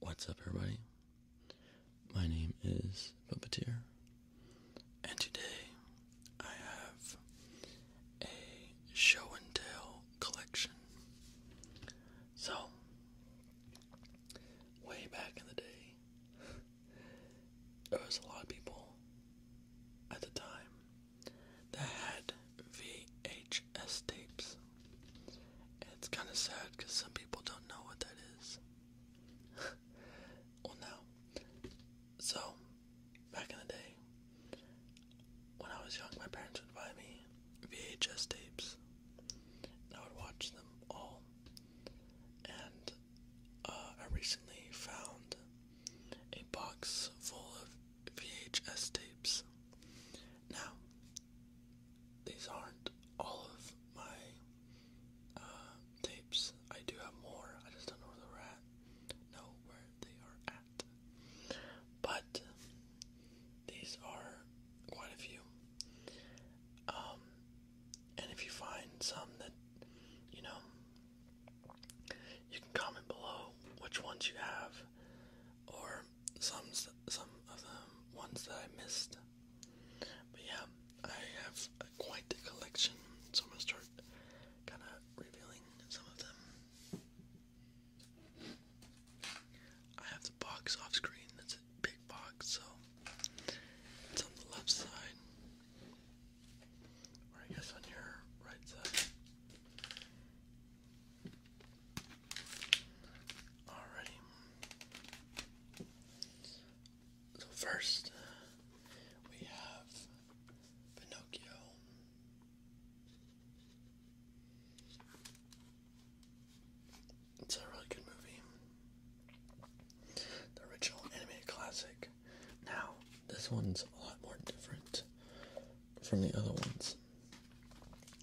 What's up, everybody? My name is Puppeteer, and today I have a show and tell collection. So, way back in the day, there was a lot of people at the time that had VHS tapes. it's kind of sad because some people don't know what that is. well, now, so back in the day, when I was young, my parents would buy me VHS tapes, I would watch them all. And uh, I recently found a box full of VHS tapes. Now, these aren't all of my uh, tapes. I do have more, I just don't know where they're at. Know where they are at. But these are quite a few. Um, and if you find some that, you know, you can comment below which ones you have or some some of the ones that I missed. But yeah, I have quite a collection, so I'm gonna start kind of revealing some of them. I have the box off screen. That's a big box, so it's on the left side, or I guess on your right side. Alrighty. So first, we have Pinocchio. It's a really good movie. The original animated classic. Now, this one's a lot more different from the other ones.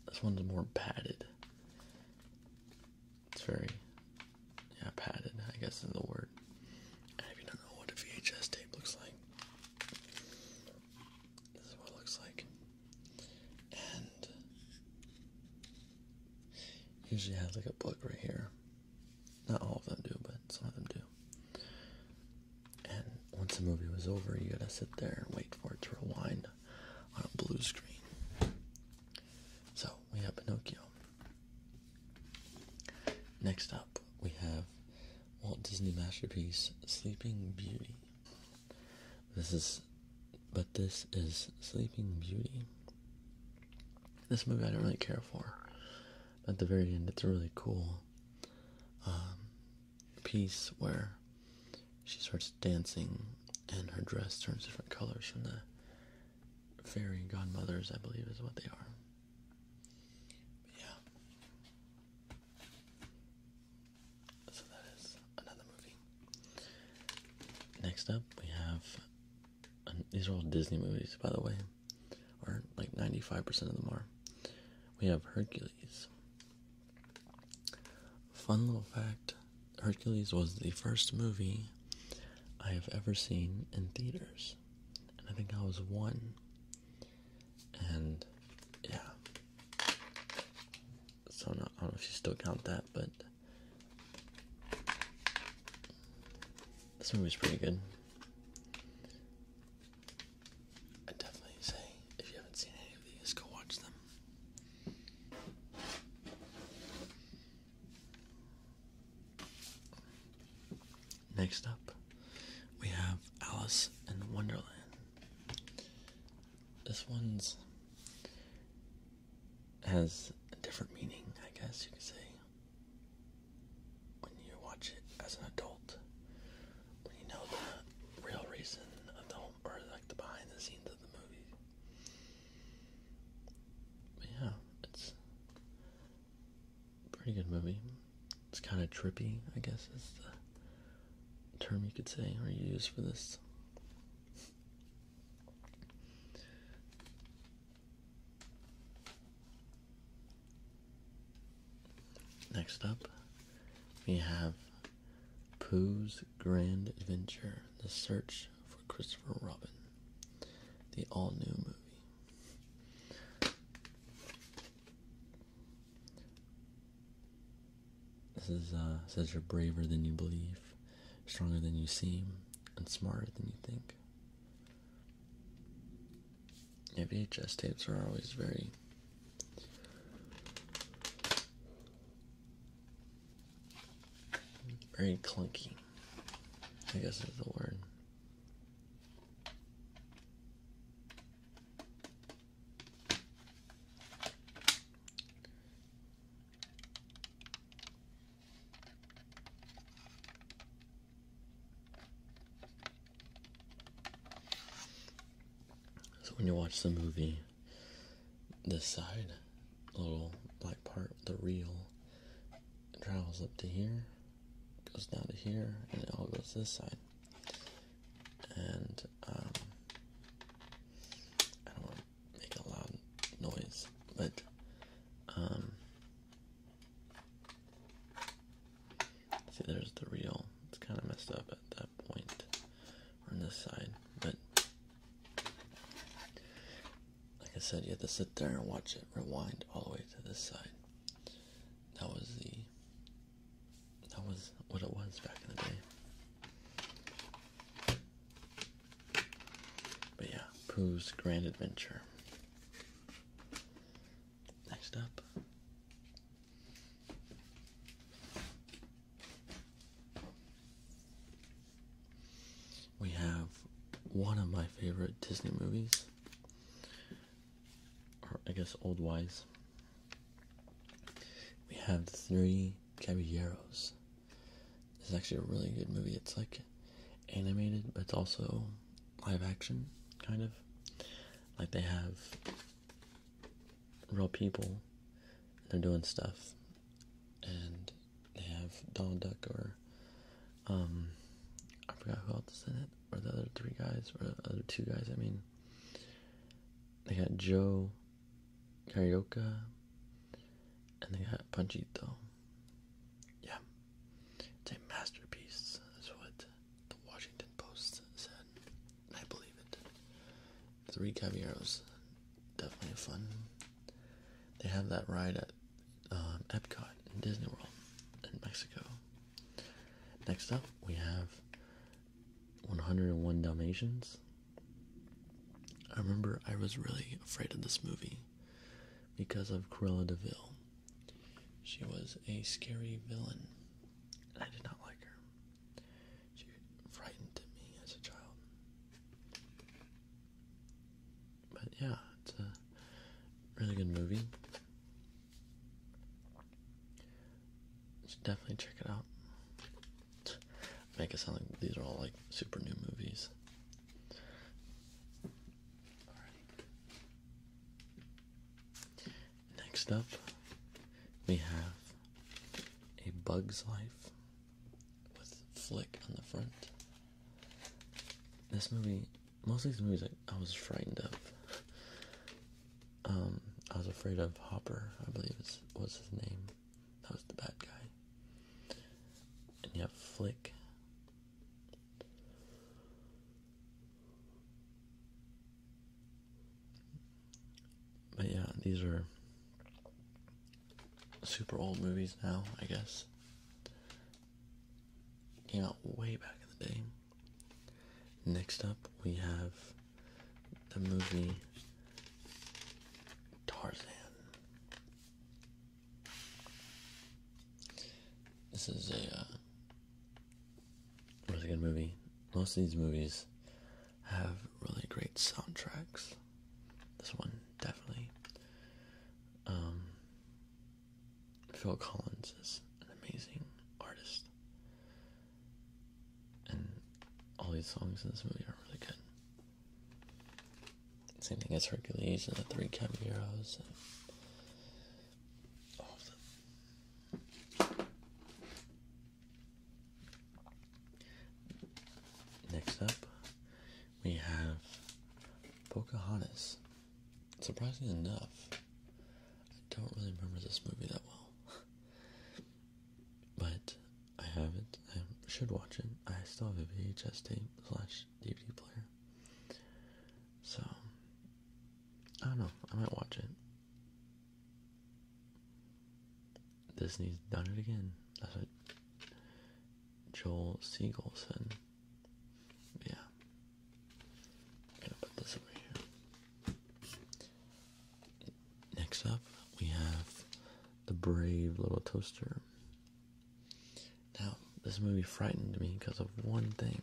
This one's more padded. It's very, yeah, padded, I guess is the word. And if you don't know what a VHS tape looks like, this is what it looks like. And usually has like a book right here. Not all of them do, but some of them do. And once the movie was over, you gotta sit there and wait for it to rewind on a blue screen. So we have Pinocchio. Next up, we have Walt Disney masterpiece Sleeping Beauty. This is, but this is Sleeping Beauty. This movie I don't really care for. At the very end, it's really cool. Um, piece where she starts dancing and her dress turns different colors from the fairy godmothers, I believe is what they are. yeah. So that is another movie. Next up, we have. these are all Disney movies, by the way. Or like 95% of them are. We have Hercules. Fun little fact Hercules was the first movie I have ever seen in theaters. And I think I was one. And yeah. So I don't know if you still count that, but this movie's pretty good. I definitely say if you haven't seen any of these, go watch them. Next up, we have Alice in Wonderland. This one's has a different meaning, I guess you could say when you watch it as an adult, when you know the real reason of or like the behind the scenes of the movie. yeah, it's pretty good movie. It's kind of trippy, I guess is the term you could say or use for this. Next up, we have Pooh's Grand Adventure The Search for Christopher Robin, the all new movie. This is, uh, says you're braver than you believe, stronger than you seem, and smarter than you think. Yeah, VHS tapes are always very very clunky. I guess is the word. So when you watch the movie, this side little black part, the reel, travels up to here, goes down to here, and it all goes this side. And um, I don't want to make a loud noise, but um, See, there's the reel. It's kind of messed up at that point on this side, but like I said, you have to sit there and watch it rewind all the way to this side. That was the that was what it was back in the day. But yeah, Pooh's Grand Adventure. Next up. We have one of my favorite Disney movies, or I guess old wise. We have the Three Caballeros. It's actually a really good movie. It's like animated, but it's also live action, kind of like they have real people they're doing stuff and they have Donald Duck or um I forgot who else is in it or the other three guys or the other two guys I mean they had Joe Carioca and they got Punchito. Yeah. It's a masterpiece, that's what the Washington Post said, I believe it. Three Caballeros, definitely fun. They have that ride at um, Epcot in Disney World in Mexico. Next up, we have 101 Dalmatians. I remember I was really afraid of this movie because of Cruella de Vil. She was a scary villain, I did not like her. She frightened me as a child. But yeah, it's a really good movie. You should definitely check it out. Make it sound like these are all like super new movies. Next up, we have a Bug's Life with Flick on the front. This movie, mostly the movies, I, was frightened of. Um, I was afraid of Hopper, I believe is, was his name. That was the bad guy. And you have Flick, but yeah, these are super old movies now, I guess. Came out way back in the day. Next up, we have the movie Tarzan. This is a uh, a good movie. Most of these movies have really great soundtracks. This one definitely. Um, Phil Collins is an amazing artist, and all these songs in this movie are really good. Same thing as Hercules and the Three Caballeros. And Next up, we have Pocahontas. Surprisingly enough, I don't really remember this movie that well. but I have it. I should watch it. I still have a VHS tape slash DVD player. So I don't know. I might watch it. Disney's done it again. That's what Joel Siegel said. Yeah. gonna put this over here. Next up, we have The Brave Little Toaster. Now, this movie frightened me because of one thing.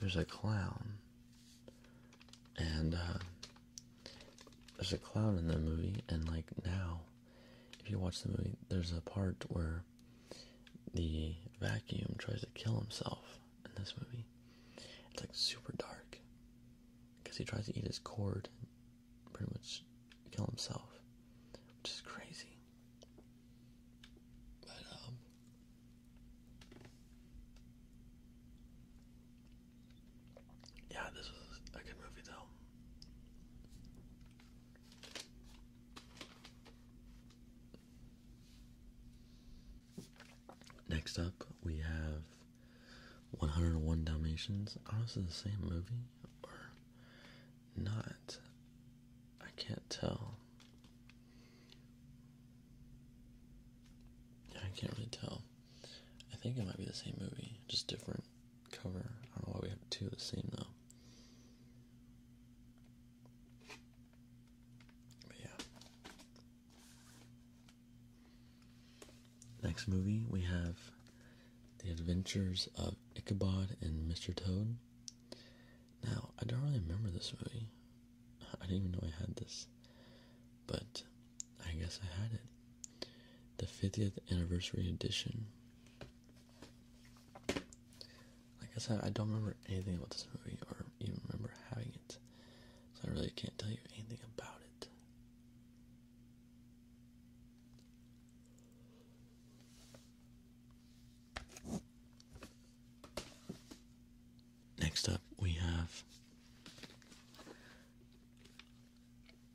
There's a clown, and uh, there's a clown in the movie. And like now, if you watch the movie, there's a part where the vacuum tries to kill himself in this movie. It's like super dark because he tries to eat his cord, and pretty much kill himself, which is crazy. But um, yeah, this was a good movie though. Next up, we have 101 Dalmatians. I it's the same movie not? I can't tell. I can't really tell. I think it might be the same movie, just different cover. I don't know why we have two of the same though. yeah. Next movie we have The Adventures of Ichabod and Mr. Toad. Now, I don't really remember this movie. I didn't even know I had this. But I guess I had it. The 50th anniversary edition. Like I said, I don't remember anything about this movie or even remember having it. So I really can't tell you anything about it. Next up, we have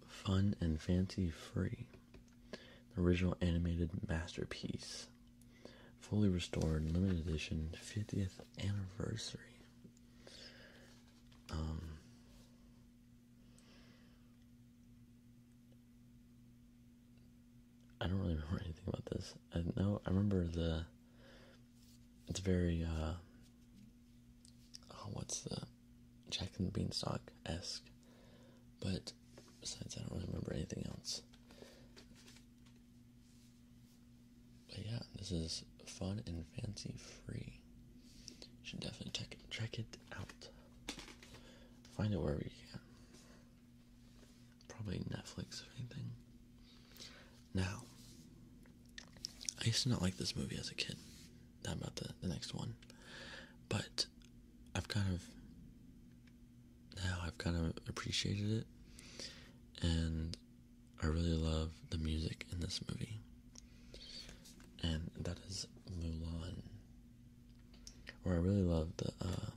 Fun and Fancy Free, the original animated masterpiece, fully restored, limited edition, 50th anniversary. Um, I don't really remember anything about this. No, I remember the. It's very. uh Oh, what's the Jack and the Beanstalk esque, but besides, I don't really remember anything else. But yeah, this is fun and fancy free. Should definitely check check it out. Find it wherever you can. Probably Netflix, if anything. Now, I used to not like this movie as a kid. Not about the, the next one. But I've kind of. Now I've kind of appreciated it. And I really love the music in this movie. And that is Mulan. Or I really love the uh,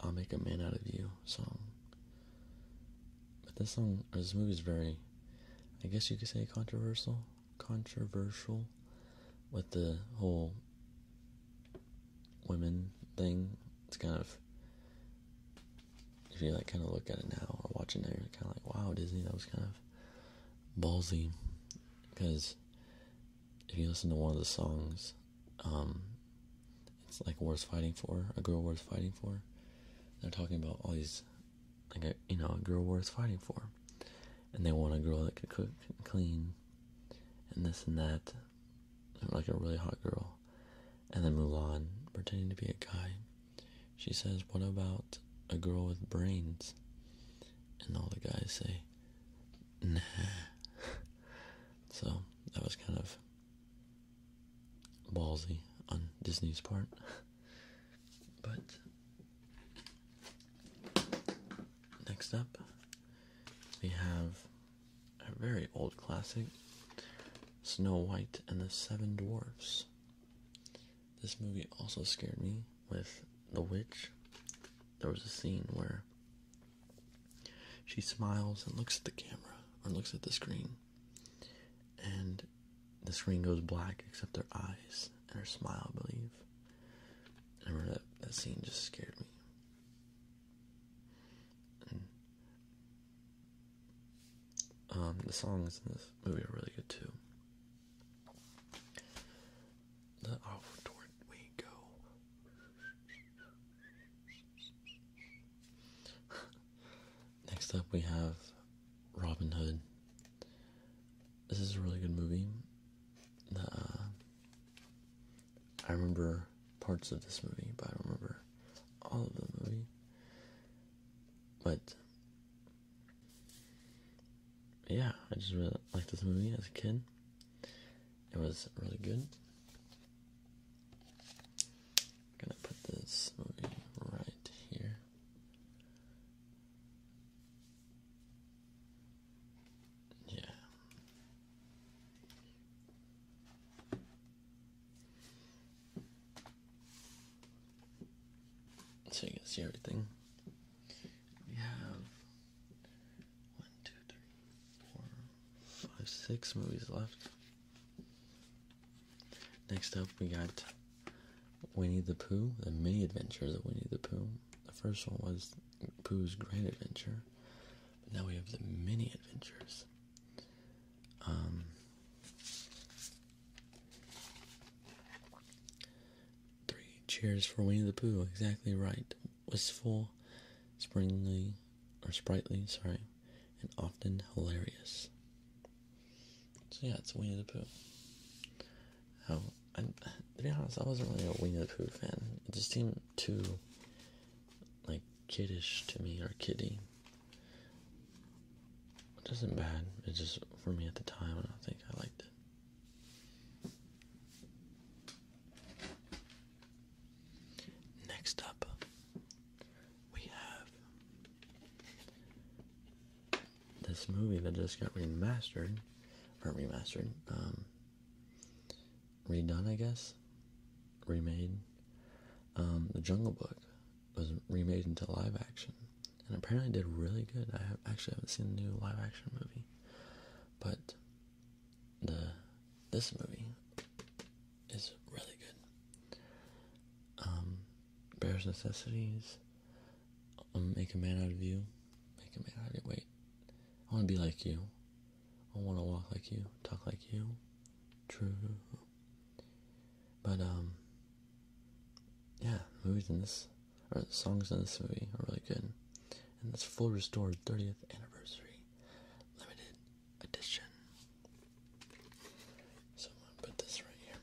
"I'll Make a Man Out of You" song. But this song, this movie, is very, I guess you could say, controversial. Controversial with the whole women thing. It's kind of if you like kind of look at it now or watch it now, you're kind of like, wow, Disney, that was kind of ballsy because if you listen to one of the songs, um, it's like worth fighting for, a girl worth fighting for. They're talking about all these, like a you know, a girl worth fighting for, and they want a girl that could cook and clean, and this and that, like a really hot girl, and then Mulan pretending to be a guy. She says, "What about a girl with brains?" And all the guys say, nah. So that was kind of ballsy on Disney's part. But next up, we have a very old classic Snow White and the Seven Dwarfs. This movie also scared me with the witch, there was a scene where she smiles and looks at the camera or looks at the screen, and the screen goes black except her eyes and her smile, I believe. I remember that, scene just scared me. Um, the songs in this movie are really good too. The outward we go. Next up, we have Robin Hood. This is a really good movie. Uh, I remember parts of this movie, but I don't remember all of the movie. But yeah, I just really liked this movie as a kid. It was really good. gonna put this right here. Yeah. So you can see everything. We have one, two, three, four, five, six movies left. Next up, we got Winnie the Pooh, the mini Adventure. of Winnie the Pooh. The first one was Pooh's Great Adventure. But now we have the mini adventures. Um, Three cheers for Winnie the Pooh. Exactly right. Wistful, springly, or sprightly, sorry, and often hilarious. So yeah, it's Winnie the Pooh. Oh, to be honest, I wasn't really a Winnie the Pooh fan. It just seemed too, like, kiddish to me, or kiddie. It was not bad. It's just, for me at the time, and I think I liked it. Next up, we have this movie that just got remastered, or remastered, um, redone, I guess, remade. Um, the Jungle Book was remade into live action, and apparently did really good. I actually haven't seen the new live action movie but the this movie is really good. Um, Bear's Necessities, um, Make a Man Out of You, Make a Man Out of You. Wait, I want to be like you. I want to walk like you, talk like you. True, but um, yeah, movies in this or the songs in this movie are really good. And that's Full Restored 30th Anniversary Limited Edition. So I'm gonna put this right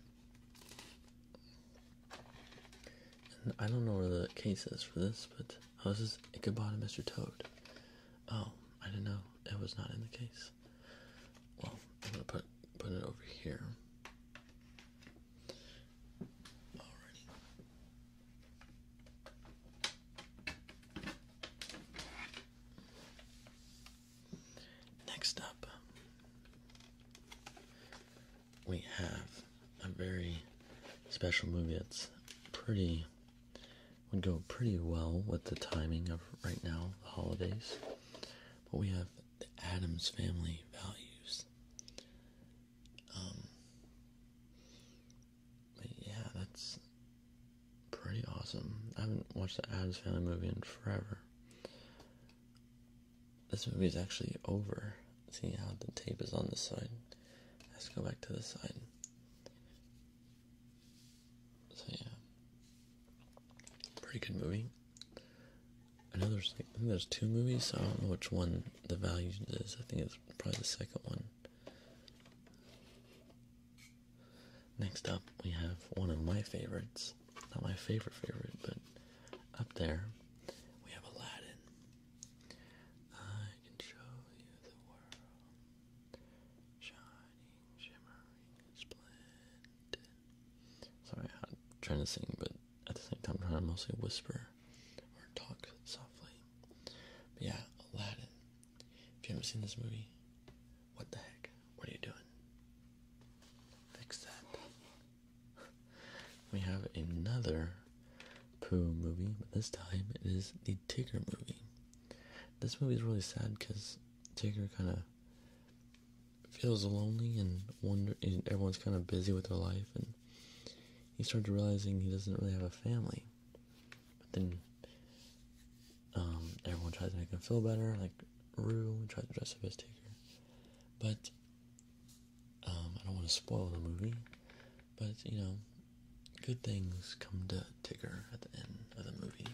here. I don't know where the case is for this, but oh, this is Ichabod and Mr. Toad. Oh, I didn't know it was not in the case. Well, I'm gonna put put it over here. Next up, we have a very special movie that's pretty, would go pretty well with the timing of right now, the holidays. But we have The Adams Family Values. Um, but yeah, that's pretty awesome. I haven't watched the Adams Family movie in forever. This movie is actually over. See how the tape is on this side. Let's go back to this side. So yeah, pretty good movie another. I think there's two movies. I don't know which one the value is. I think it's probably the second one. Next up, we have one of my favorites. Not my favorite favorite, but up there, we have Aladdin. I can Sorry, trying to sing, but at the same time trying to mostly whisper or talk softly. But yeah, Aladdin. If you haven't seen this movie, what the heck? What are you doing? Fix that. we have another Pooh movie, but this time it is the Tigger movie. This movie is really sad because Tigger kind of feels lonely and wonder. And everyone's kind of busy with their life, and he starts realizing he doesn't really have a family. But then um, everyone tries to make him feel better, like Rue tries to dress up as Tigger. But um, I don't want to spoil the movie, but you know, good things come to Tigger at the end of the movie.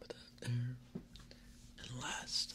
Put that there. And last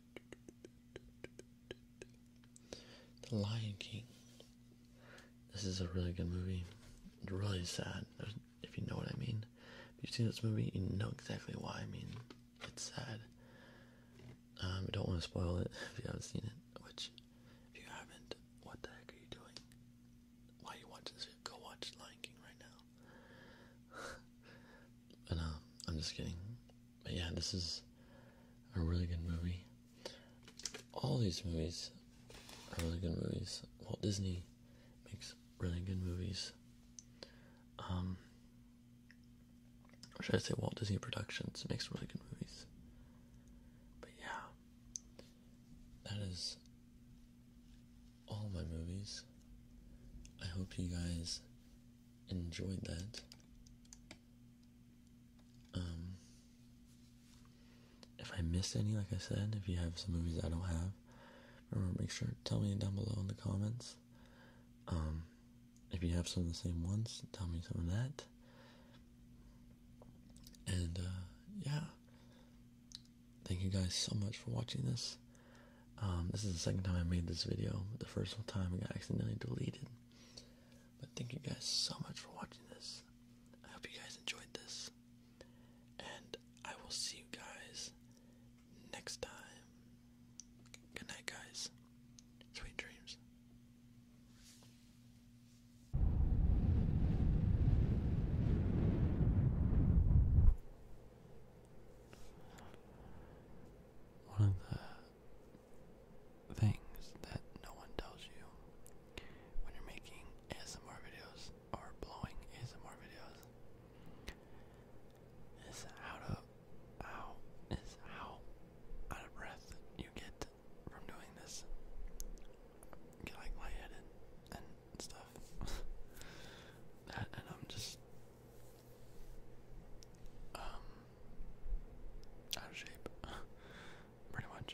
The Lion King. This is a really good movie. It's really sad, if you know what I mean. If you've seen this movie, you know exactly why. I mean, it's sad. Um, I don't want to spoil it if you haven't seen it. Which, if you haven't, what the heck are you doing? Why are you watching this? Go watch Lion King right now. and um, I'm just kidding but yeah, this is a really good movie. All these movies are really good movies. Walt Disney makes really good movies. Um, or should I say Walt Disney Productions makes really good movies? But yeah, that is all my movies. I hope you guys enjoyed that. Um, if I missed any, like I said, if you have some movies I don't have, remember make sure tell me down below in the comments. Um, if you have some of the same ones, tell me some of that. And uh, yeah, thank you guys so much for watching this. Um, this is the second time I made this video. The first time it got accidentally deleted. But thank you guys so much for watching this. I hope you guys enjoyed this. And I will see you guys next time. Good night, guys. Sweet dreams one of the things that no one tells you when you're making ASMR videos or blowing ASMR videos is how how is how out of breath you get from doing this. Get like lightheaded and stuff. and I'm just um, out of shape, pretty much.